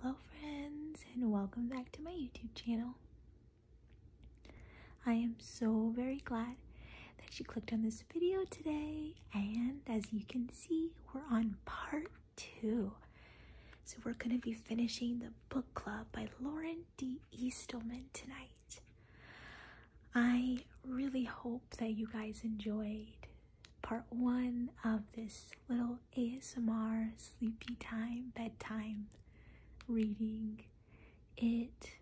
Hello friends and welcome back to my YouTube channel. I am so very glad that you clicked on this video today and as you can see we're on part two. So we're going to be finishing the book club by Lauren D. Eastman tonight. I really hope that you guys enjoyed part one of this little ASMR sleepy time, bedtime reading. It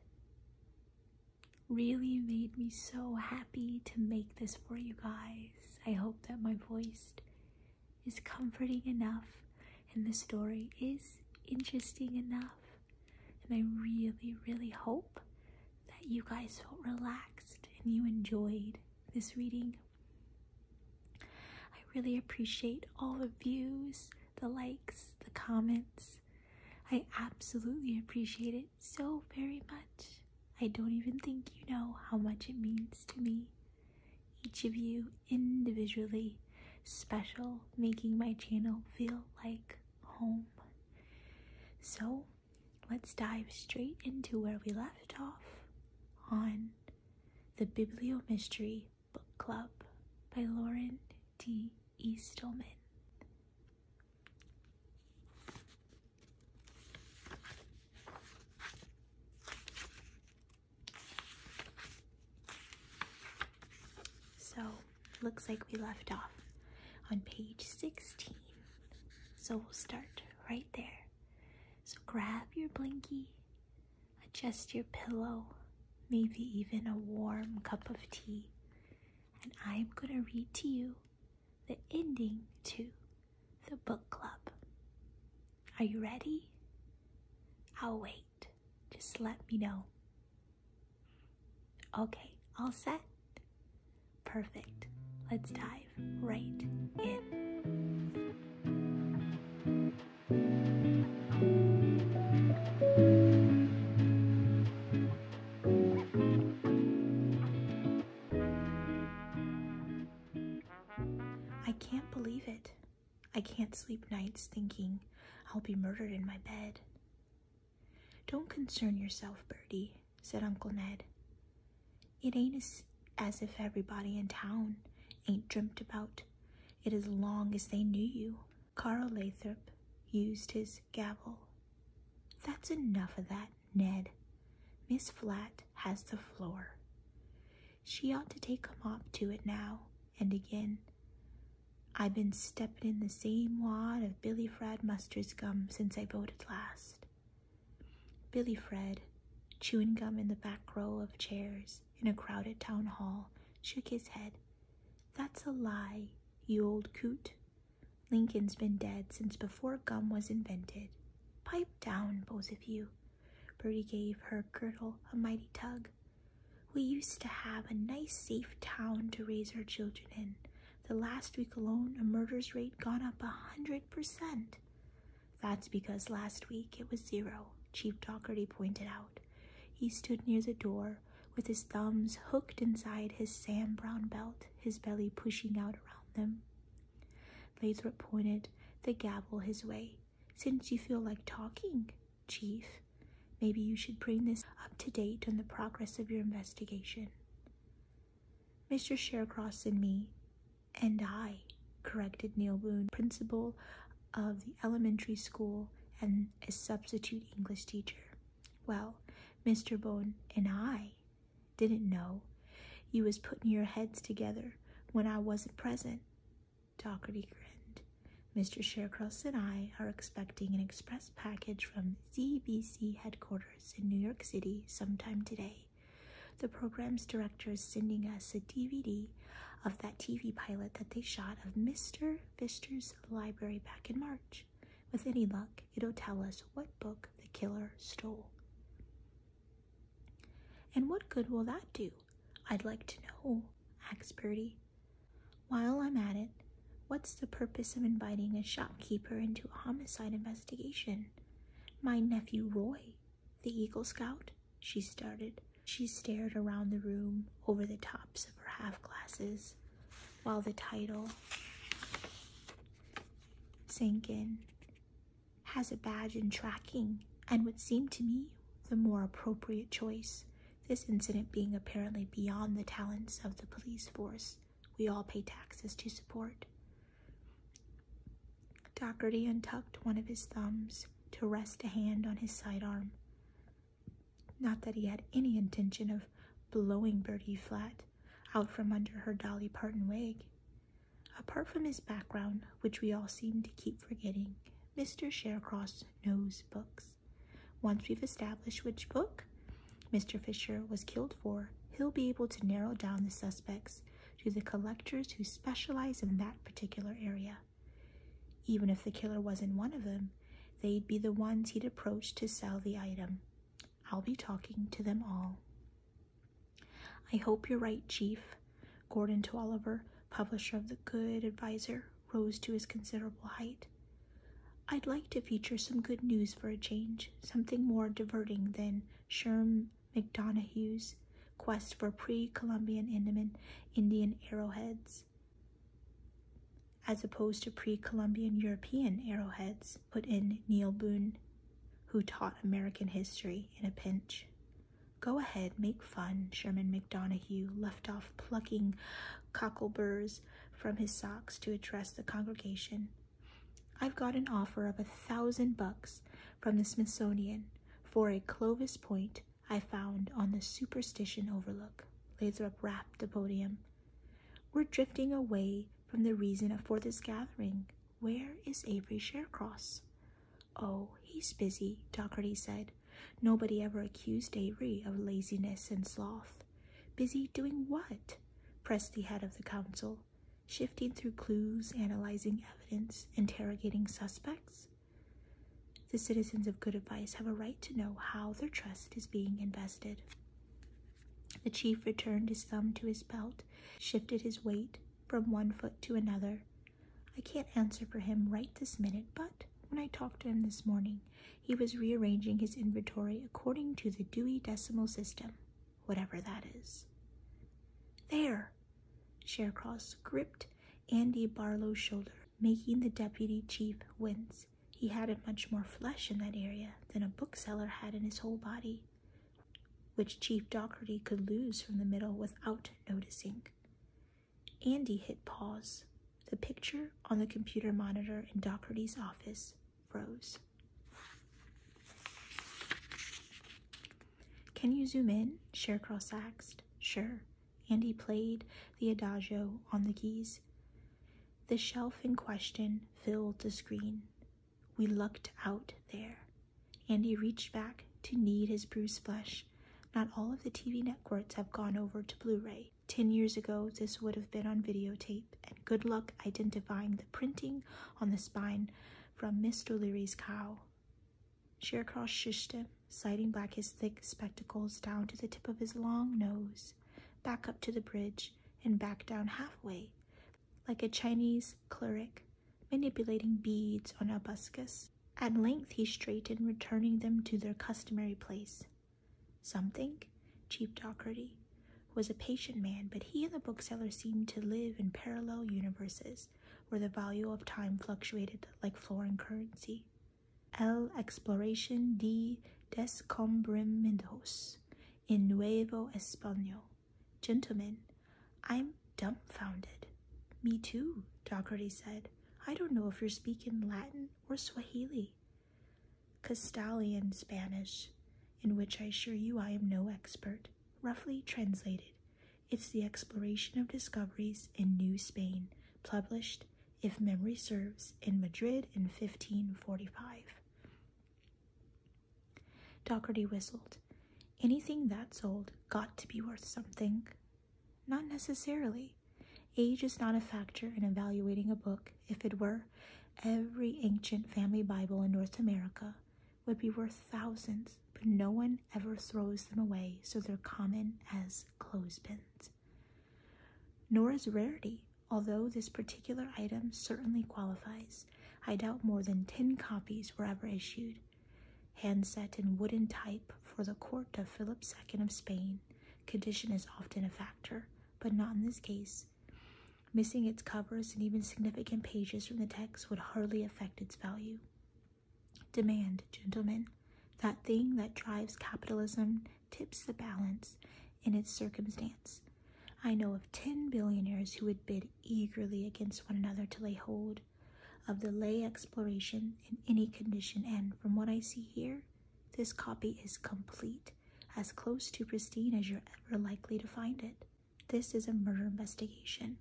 really made me so happy to make this for you guys. I hope that my voice is comforting enough and the story is interesting enough. And I really, really hope that you guys felt relaxed and you enjoyed this reading I really appreciate all the views, the likes, the comments. I absolutely appreciate it so very much. I don't even think you know how much it means to me. Each of you individually special, making my channel feel like home. So let's dive straight into where we left off on the Bibliomystery Book Club by Lauren D. E. Stillman. So, looks like we left off on page 16. So we'll start right there. So grab your blinky, adjust your pillow, maybe even a warm cup of tea, and I'm going to read to you the ending to the book club. Are you ready? I'll wait. Just let me know. Okay, all set? Perfect. Let's dive right in. I can't believe it. I can't sleep nights thinking I'll be murdered in my bed. Don't concern yourself, Bertie, said Uncle Ned. It ain't as, as if everybody in town ain't dreamt about it as long as they knew you. Carl Lathrop used his gavel. That's enough of that, Ned. Miss Flat has the floor. She ought to take a mop to it now and again. I've been steppin' in the same wad of Billy Fred mustard's gum since I voted last. Billy Fred, chewing gum in the back row of chairs in a crowded town hall, shook his head. That's a lie, you old coot. Lincoln's been dead since before gum was invented. Pipe down, both of you. Bertie gave her girdle a mighty tug. We used to have a nice, safe town to raise our children in. The last week alone, the murder's rate gone up a hundred percent. That's because last week it was zero, Chief Dougherty pointed out. He stood near the door with his thumbs hooked inside his Sam Brown belt, his belly pushing out around them. Lathrop pointed the gavel his way. Since you feel like talking, Chief, maybe you should bring this up to date on the progress of your investigation. Mr. Shercross and me and I, corrected Neil Boone, principal of the elementary school and a substitute English teacher. Well, Mr. Boone and I didn't know you was putting your heads together when I wasn't present. Doherty grinned. Mr. Sharecross and I are expecting an express package from CBC headquarters in New York City sometime today. The program's director is sending us a DVD of that TV pilot that they shot of Mr. Fister's library back in March. With any luck, it'll tell us what book the killer stole. And what good will that do? I'd like to know, asked Birdie. While I'm at it, what's the purpose of inviting a shopkeeper into a homicide investigation? My nephew Roy, the Eagle Scout, she started. She stared around the room over the tops of her half glasses while the title sank in. Has a badge in tracking and would seem to me the more appropriate choice, this incident being apparently beyond the talents of the police force we all pay taxes to support. Doherty untucked one of his thumbs to rest a hand on his side arm. Not that he had any intention of blowing Bertie flat out from under her Dolly Parton wig. Apart from his background, which we all seem to keep forgetting, Mr. Sharecross knows books. Once we've established which book Mr. Fisher was killed for, he'll be able to narrow down the suspects to the collectors who specialize in that particular area. Even if the killer wasn't one of them, they'd be the ones he'd approach to sell the item. I'll be talking to them all. I hope you're right, Chief. Gordon to Oliver, publisher of The Good Adviser, rose to his considerable height. I'd like to feature some good news for a change, something more diverting than Sherm McDonoughue's quest for pre-Columbian Indian arrowheads, as opposed to pre-Columbian European arrowheads put in Neil Boone, who taught American history in a pinch. Go ahead, make fun, Sherman McDonough left off plucking cockleburs from his socks to address the congregation. I've got an offer of a thousand bucks from the Smithsonian for a Clovis point I found on the Superstition Overlook. Lathrop wrapped the podium. We're drifting away from the reason for this gathering. Where is Avery Sharecross? Oh, he's busy, Doherty said. Nobody ever accused Avery of laziness and sloth. Busy doing what? pressed the head of the council. Shifting through clues, analyzing evidence, interrogating suspects? The citizens of good advice have a right to know how their trust is being invested. The chief returned his thumb to his belt, shifted his weight from one foot to another. I can't answer for him right this minute, but when I talked to him this morning, he was rearranging his inventory according to the Dewey Decimal System, whatever that is. There, Sharecross gripped Andy Barlow's shoulder, making the deputy chief wince. He had much more flesh in that area than a bookseller had in his whole body, which Chief Dockerty could lose from the middle without noticing. Andy hit pause. The picture on the computer monitor in Dockerty's office froze. Can you zoom in? Sharecross asked. Sure. Andy played the adagio on the keys. The shelf in question filled the screen. We looked out there. Andy reached back to knead his bruised flesh. Not all of the TV networks have gone over to Blu ray. Ten years ago, this would have been on videotape, and good luck identifying the printing on the spine from Mr. O'Leary's cow. Sheer Shearcross shushed him, sliding back his thick spectacles down to the tip of his long nose, back up to the bridge, and back down halfway, like a Chinese cleric manipulating beads on a buscus. At length he straightened, returning them to their customary place. Something, cheap Dougherty, was a patient man, but he and the bookseller seemed to live in parallel universes where the value of time fluctuated like foreign currency. El Exploración de Descubrimientos in Nuevo Español. Gentlemen, I'm dumbfounded. Me too, Dougherty said. I don't know if you're speaking Latin or Swahili. Castilian Spanish, in which I assure you I am no expert, roughly translated, it's the exploration of discoveries in New Spain, published, if memory serves, in Madrid in 1545. Dougherty whistled. Anything that's old got to be worth something. Not necessarily. Age is not a factor in evaluating a book. If it were, every ancient family Bible in North America would be worth thousands but no one ever throws them away, so they're common as clothespins. Nor is rarity, although this particular item certainly qualifies. I doubt more than 10 copies were ever issued. handset in wooden type for the court of Philip II of Spain, condition is often a factor, but not in this case. Missing its covers and even significant pages from the text would hardly affect its value. Demand, gentlemen, that thing that drives capitalism tips the balance in its circumstance. I know of 10 billionaires who would bid eagerly against one another to lay hold of the lay exploration in any condition, and from what I see here, this copy is complete, as close to pristine as you're ever likely to find it. This is a murder investigation,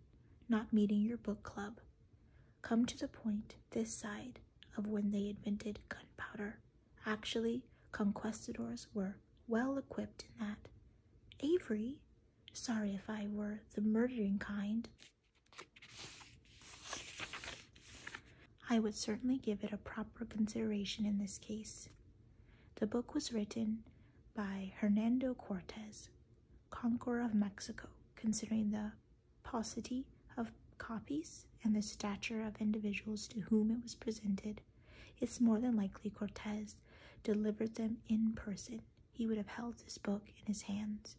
not meeting your book club come to the point this side of when they invented gunpowder. Actually, conquistadors were well equipped in that. Avery, sorry if I were the murdering kind, I would certainly give it a proper consideration in this case. The book was written by Hernando Cortez, conqueror of Mexico, considering the paucity of copies and the stature of individuals to whom it was presented, it's more than likely Cortez delivered them in person. He would have held this book in his hands.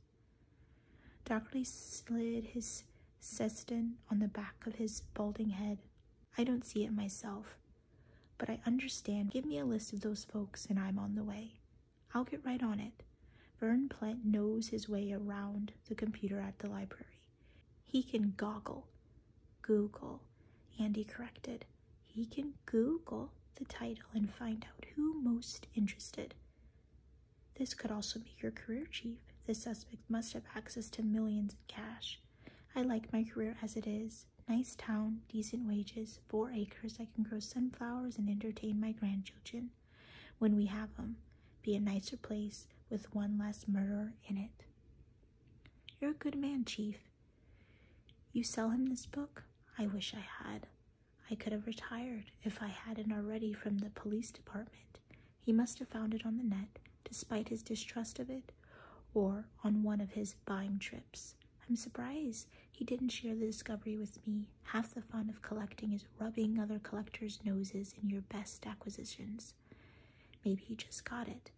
Dockery slid his seston on the back of his balding head. I don't see it myself, but I understand. Give me a list of those folks, and I'm on the way. I'll get right on it. Vern Plett knows his way around the computer at the library. He can goggle, Google, Andy corrected. He can Google the title and find out who most interested. This could also be your career chief. The suspect must have access to millions in cash. I like my career as it is. Nice town, decent wages, four acres. I can grow sunflowers and entertain my grandchildren when we have them, be a nicer place with one less murderer in it. You're a good man, Chief. You sell him this book? I wish I had. I could have retired if I hadn't already from the police department. He must have found it on the net, despite his distrust of it, or on one of his buying trips. I'm surprised he didn't share the discovery with me. Half the fun of collecting is rubbing other collectors' noses in your best acquisitions. Maybe he just got it,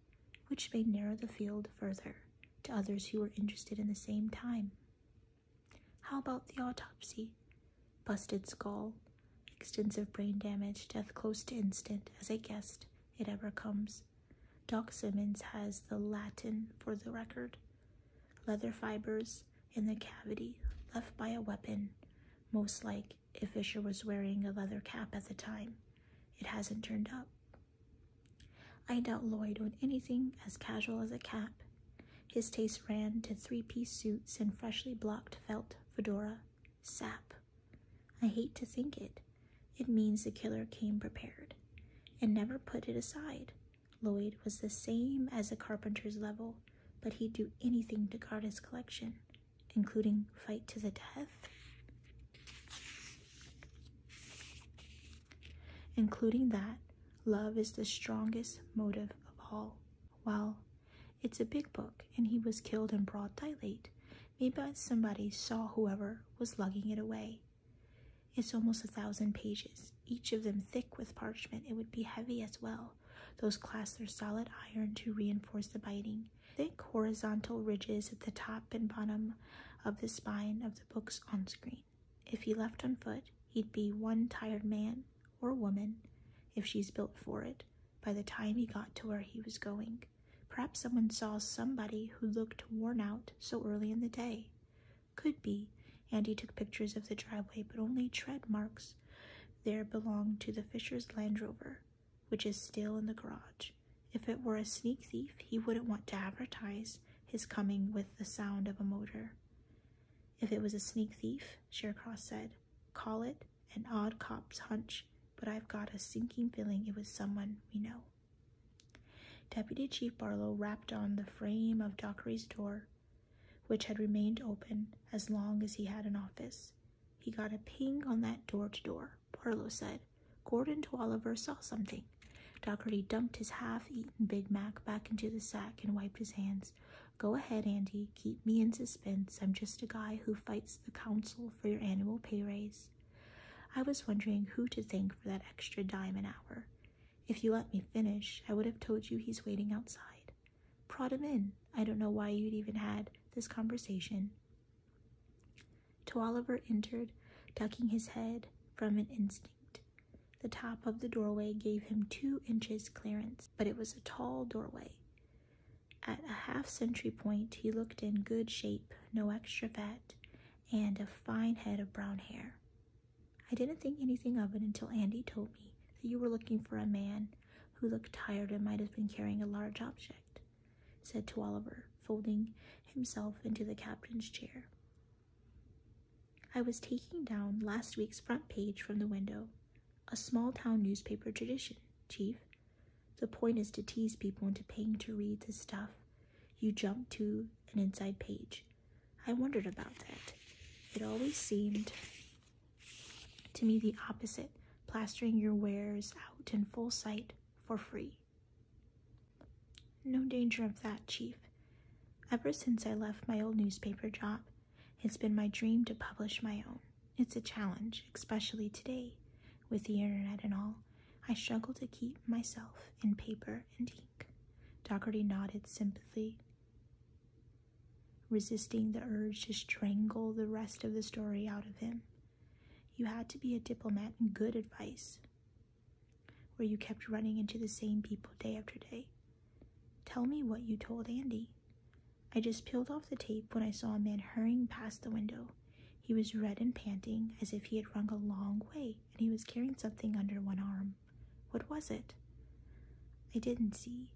which may narrow the field further to others who were interested in the same time. How about the autopsy? Busted skull, extensive brain damage, death close to instant, as I guessed it ever comes. Doc Simmons has the Latin for the record. Leather fibers, in the cavity left by a weapon, most like if Fisher was wearing a leather cap at the time. It hasn't turned up. I doubt Lloyd owned anything as casual as a cap. His taste ran to three piece suits and freshly blocked felt fedora. Sap. I hate to think it. It means the killer came prepared and never put it aside. Lloyd was the same as a carpenter's level, but he'd do anything to guard his collection, including fight to the death. Including that, love is the strongest motive of all. Well, it's a big book, and he was killed in broad daylight. Maybe somebody saw whoever was lugging it away. It's almost a thousand pages, each of them thick with parchment, it would be heavy as well. Those clasps are solid iron to reinforce the biting. Thick horizontal ridges at the top and bottom of the spine of the books on screen. If he left on foot, he'd be one tired man or woman, if she's built for it, by the time he got to where he was going. Perhaps someone saw somebody who looked worn out so early in the day. Could be. Andy took pictures of the driveway, but only tread marks there belonged to the Fisher's Land Rover, which is still in the garage. If it were a sneak thief, he wouldn't want to advertise his coming with the sound of a motor. If it was a sneak thief, Shercross said, call it an odd cop's hunch, but I've got a sinking feeling it was someone we know. Deputy Chief Barlow rapped on the frame of Dockery's door which had remained open as long as he had an office. He got a ping on that door to door, Barlow said. Gordon to Oliver saw something. Docherty dumped his half-eaten Big Mac back into the sack and wiped his hands. Go ahead, Andy. Keep me in suspense. I'm just a guy who fights the council for your annual pay raise. I was wondering who to thank for that extra dime an hour. If you let me finish, I would have told you he's waiting outside. Prod him in. I don't know why you'd even had this conversation. Twaliver entered, ducking his head from an instinct. The top of the doorway gave him two inches clearance, but it was a tall doorway. At a half century point, he looked in good shape, no extra fat, and a fine head of brown hair. I didn't think anything of it until Andy told me that you were looking for a man who looked tired and might have been carrying a large object, said to Oliver, folding himself into the captain's chair. I was taking down last week's front page from the window, a small town newspaper tradition, Chief. The point is to tease people into paying to read the stuff you jump to an inside page. I wondered about that. It always seemed to me the opposite, plastering your wares out in full sight for free. No danger of that, Chief. Ever since I left my old newspaper job, it's been my dream to publish my own. It's a challenge, especially today, with the internet and all. I struggle to keep myself in paper and ink. Dougherty nodded sympathy resisting the urge to strangle the rest of the story out of him. You had to be a diplomat and good advice, where you kept running into the same people day after day. Tell me what you told Andy. I just peeled off the tape when I saw a man hurrying past the window. He was red and panting, as if he had run a long way, and he was carrying something under one arm. What was it? I didn't see.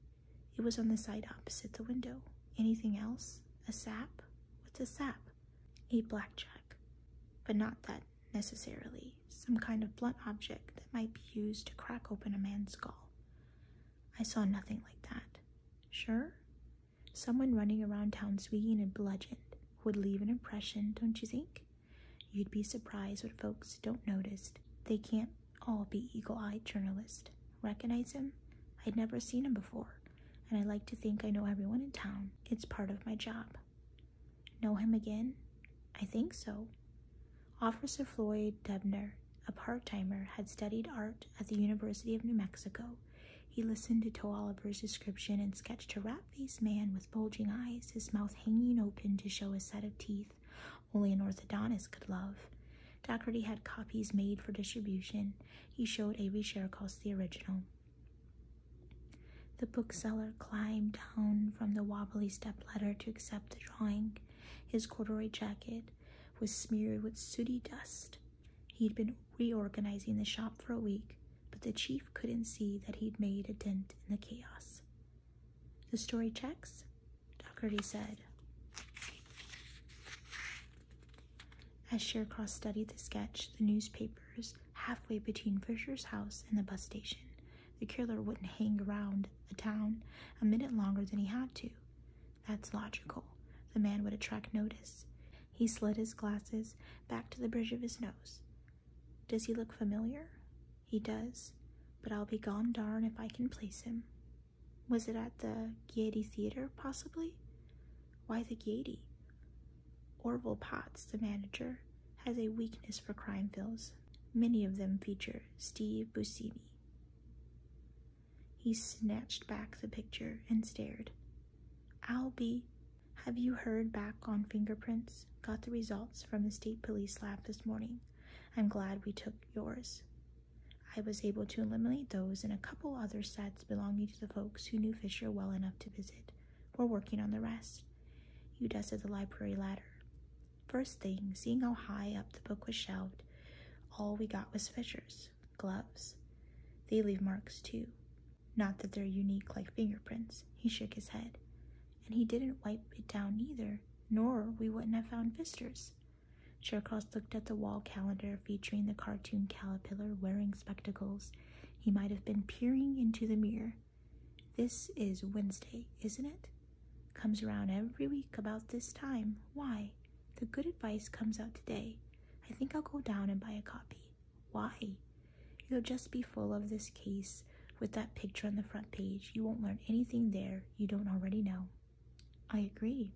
It was on the side opposite the window. Anything else? A sap? What's a sap? A blackjack. But not that necessarily. Some kind of blunt object that might be used to crack open a man's skull. I saw nothing like that. Sure? Someone running around town swinging a bludgeon would leave an impression, don't you think? You'd be surprised what folks don't notice. They can't can't all be eagle eyed journalist Recognize him? I'd never seen him before, and I like to think I know everyone in town. It's part of my job. Know him again? I think so. Officer Floyd Debner, a part timer, had studied art at the University of New Mexico. He listened to Toaliver's description and sketched a rat faced man with bulging eyes, his mouth hanging open to show a set of teeth, only an orthodontist could love. Doherty had copies made for distribution. He showed share Sherikoff the original. The bookseller climbed down from the wobbly stepladder to accept the drawing. His corduroy jacket was smeared with sooty dust. He'd been reorganizing the shop for a week, but the chief couldn't see that he'd made a dent in the chaos. The story checks, Dougherty said. As Shercross studied the sketch, the newspapers, halfway between Fisher's house and the bus station, the killer wouldn't hang around the town a minute longer than he had to. That's logical. The man would attract notice. He slid his glasses back to the bridge of his nose. Does he look familiar? He does, but I'll be gone darn if I can place him. Was it at the Gaiety Theater, possibly? Why the Gaiety? Orville Potts, the manager, has a weakness for crime films. Many of them feature Steve Buscemi. He snatched back the picture and stared. Albie, Have you heard back on fingerprints? Got the results from the state police lab this morning. I'm glad we took yours. I was able to eliminate those and a couple other sets belonging to the folks who knew Fisher well enough to visit. We're working on the rest. You dusted the library ladder. First thing, seeing how high up the book was shelved, all we got was Fisher's gloves. They leave marks too. Not that they're unique like fingerprints. He shook his head. And he didn't wipe it down either nor we wouldn't have found visitors. Cherkos looked at the wall calendar featuring the cartoon caterpillar wearing spectacles. He might have been peering into the mirror. This is Wednesday, isn't it? Comes around every week about this time. Why? The good advice comes out today. I think I'll go down and buy a copy. Why? It'll just be full of this case with that picture on the front page. You won't learn anything there you don't already know. I agree.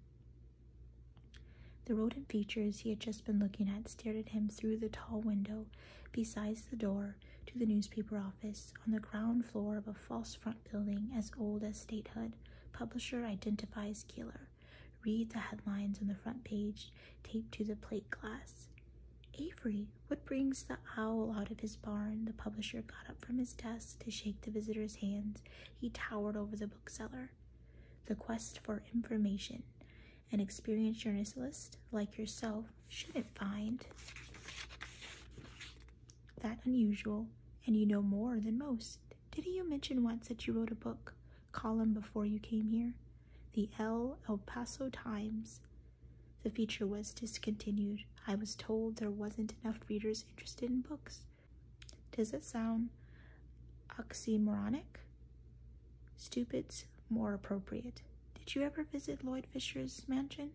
The rodent features he had just been looking at stared at him through the tall window besides the door to the newspaper office on the ground floor of a false front building as old as statehood. Publisher identifies killer. Read the headlines on the front page taped to the plate glass. Avery, what brings the owl out of his barn? The publisher got up from his desk to shake the visitor's hands, he towered over the bookseller. The quest for information an experienced journalist like yourself shouldn't find that unusual, and you know more than most. Didn't you mention once that you wrote a book column before you came here? The L. El Paso Times. The feature was discontinued. I was told there wasn't enough readers interested in books. Does it sound oxymoronic? Stupid's more appropriate. Did you ever visit Lloyd Fisher's mansion?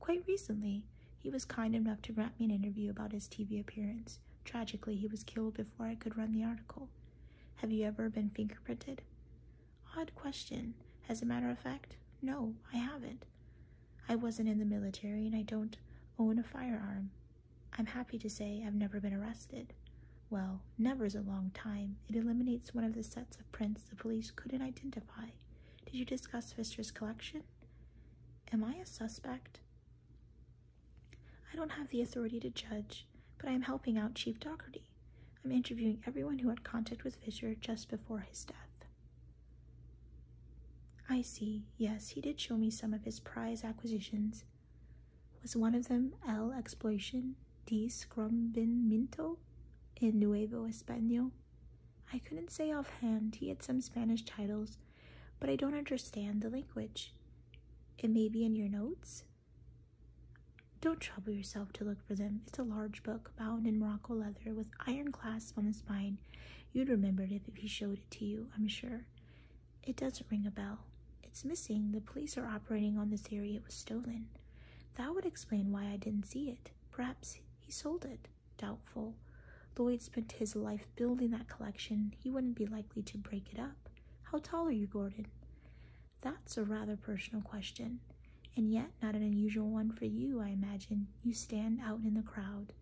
Quite recently. He was kind enough to grant me an interview about his TV appearance. Tragically, he was killed before I could run the article. Have you ever been fingerprinted? Odd question. As a matter of fact, no, I haven't. I wasn't in the military and I don't own a firearm. I'm happy to say I've never been arrested. Well, never's a long time. It eliminates one of the sets of prints the police couldn't identify. Did you discuss Fister's collection? Am I a suspect? I don't have the authority to judge, but I am helping out Chief Dougherty. I'm interviewing everyone who had contact with Fisher just before his death. I see, yes, he did show me some of his prize acquisitions. Was one of them L Exploitation, de Scrumbinminto in Nuevo Espanol? I couldn't say offhand, he had some Spanish titles, but I don't understand the language. It may be in your notes. Don't trouble yourself to look for them. It's a large book bound in Morocco leather with iron clasp on the spine You'd remember it if he showed it to you, I'm sure. It doesn't ring a bell. It's missing. The police are operating on the theory it was stolen. That would explain why I didn't see it. Perhaps he sold it. Doubtful. Lloyd spent his life building that collection. He wouldn't be likely to break it up. How tall are you, Gordon? That's a rather personal question, and yet not an unusual one for you, I imagine. You stand out in the crowd.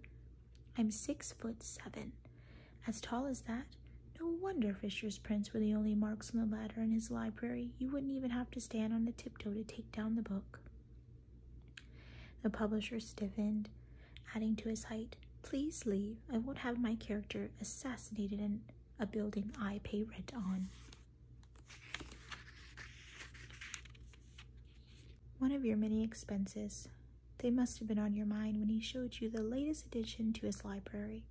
I'm six foot seven. As tall as that? No wonder Fisher's prints were the only marks on the ladder in his library. You wouldn't even have to stand on a tiptoe to take down the book. The publisher stiffened, adding to his height, Please leave. I won't have my character assassinated in a building I pay rent on. One of your many expenses. They must have been on your mind when he showed you the latest addition to his library.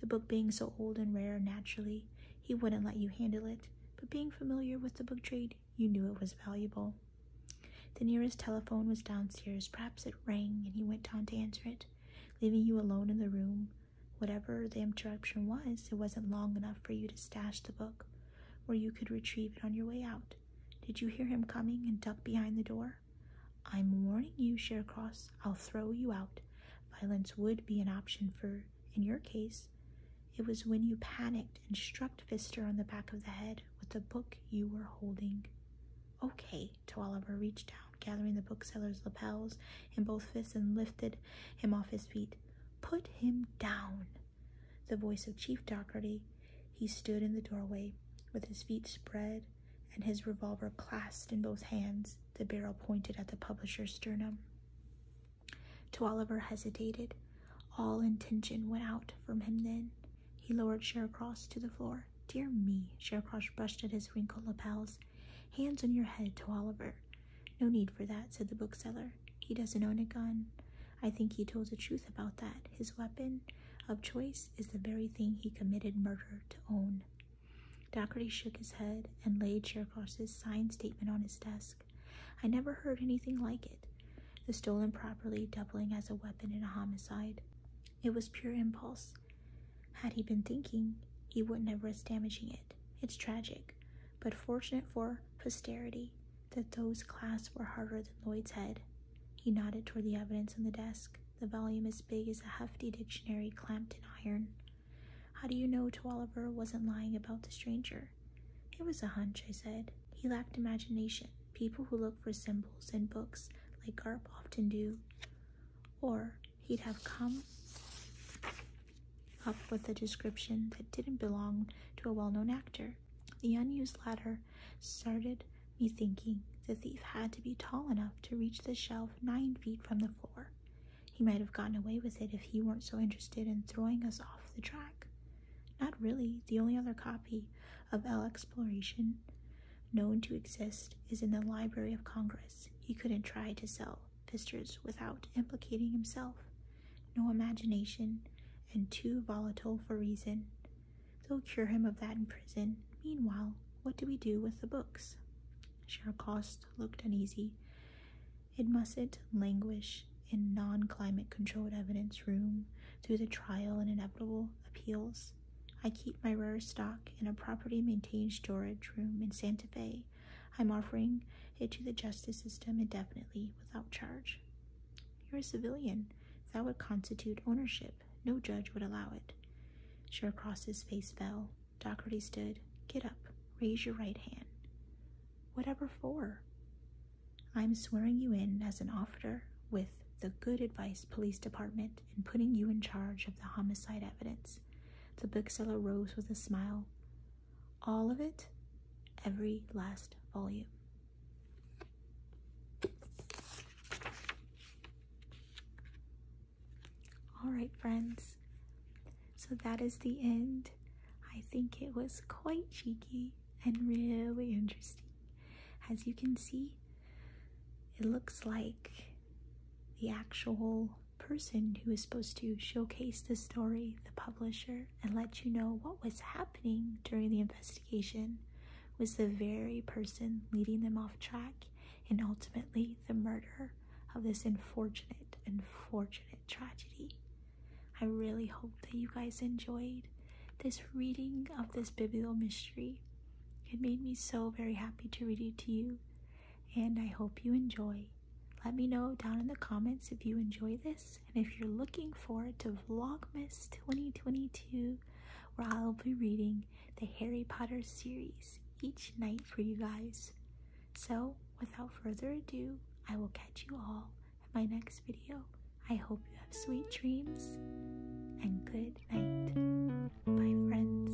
The book being so old and rare, naturally, he wouldn't let you handle it, but being familiar with the book trade, you knew it was valuable. The nearest telephone was downstairs. Perhaps it rang, and he went down to answer it, leaving you alone in the room. Whatever the interruption was, it wasn't long enough for you to stash the book, or you could retrieve it on your way out. Did you hear him coming and duck behind the door? I'm warning you, Cross. I'll throw you out. Violence would be an option for, in your case. It was when you panicked and struck Fister on the back of the head with the book you were holding. Okay, Twaliver reached down, gathering the bookseller's lapels in both fists and lifted him off his feet. Put him down the voice of Chief Dougherty, he stood in the doorway, with his feet spread and his revolver clasped in both hands, the barrel pointed at the publisher's sternum. To Oliver, hesitated. All intention went out from him then. He lowered Shercross to the floor. Dear me, Shercross brushed at his wrinkled lapels. Hands on your head, To Oliver." No need for that, said the bookseller. He doesn't own a gun. I think he told the truth about that. His weapon of choice is the very thing he committed murder to own. Doherty shook his head and laid Cherkov's signed statement on his desk. I never heard anything like it. The stolen property doubling as a weapon in a homicide. It was pure impulse. Had he been thinking, he wouldn't have risked damaging it. It's tragic, but fortunate for posterity that those clasps were harder than Lloyd's head. He nodded toward the evidence on the desk, the volume as big as a hefty dictionary clamped in iron. How do you know Twalliver wasn't lying about the stranger? It was a hunch, I said. He lacked imagination, people who look for symbols in books like Garp often do. Or he'd have come up with a description that didn't belong to a well known actor. The unused ladder started me thinking the thief had to be tall enough to reach the shelf nine feet from the floor. He might have gotten away with it if he weren't so interested in throwing us off the track. Not really. The only other copy of L Exploration known to exist is in the Library of Congress. He couldn't try to sell Fisters without implicating himself no imagination, and too volatile for reason. They'll cure him of that in prison. Meanwhile, what do we do with the books? Sharakost looked uneasy. It mustn't languish in non climate controlled evidence room through the trial and inevitable appeals. I keep my rarest stock in a property maintained storage room in Santa Fe. I'm offering it to the justice system indefinitely without charge. You're a civilian. That would constitute ownership. No judge would allow it. Sharecross's face fell. Doherty stood. Get up. Raise your right hand. Whatever for? I'm swearing you in as an officer with the Good Advice Police Department and putting you in charge of the homicide evidence. The bookseller rose with a smile. All of it? Every last volume. All right, friends. So that is the end. I think it was quite cheeky and really interesting. As you can see, it looks like the actual person who is supposed to showcase the story, the publisher, and let you know what was happening during the investigation was the very person leading them off track and ultimately the murderer of this unfortunate, unfortunate tragedy. I really hope that you guys enjoyed this reading of this biblical mystery. It made me so very happy to read it to you, and I hope you enjoy. Let me know down in the comments if you enjoy this and if you're looking forward to Vlogmas 2022, where I'll be reading the Harry Potter series each night for you guys. So, without further ado, I will catch you all in my next video. I hope you have sweet dreams and good night. Bye, friends.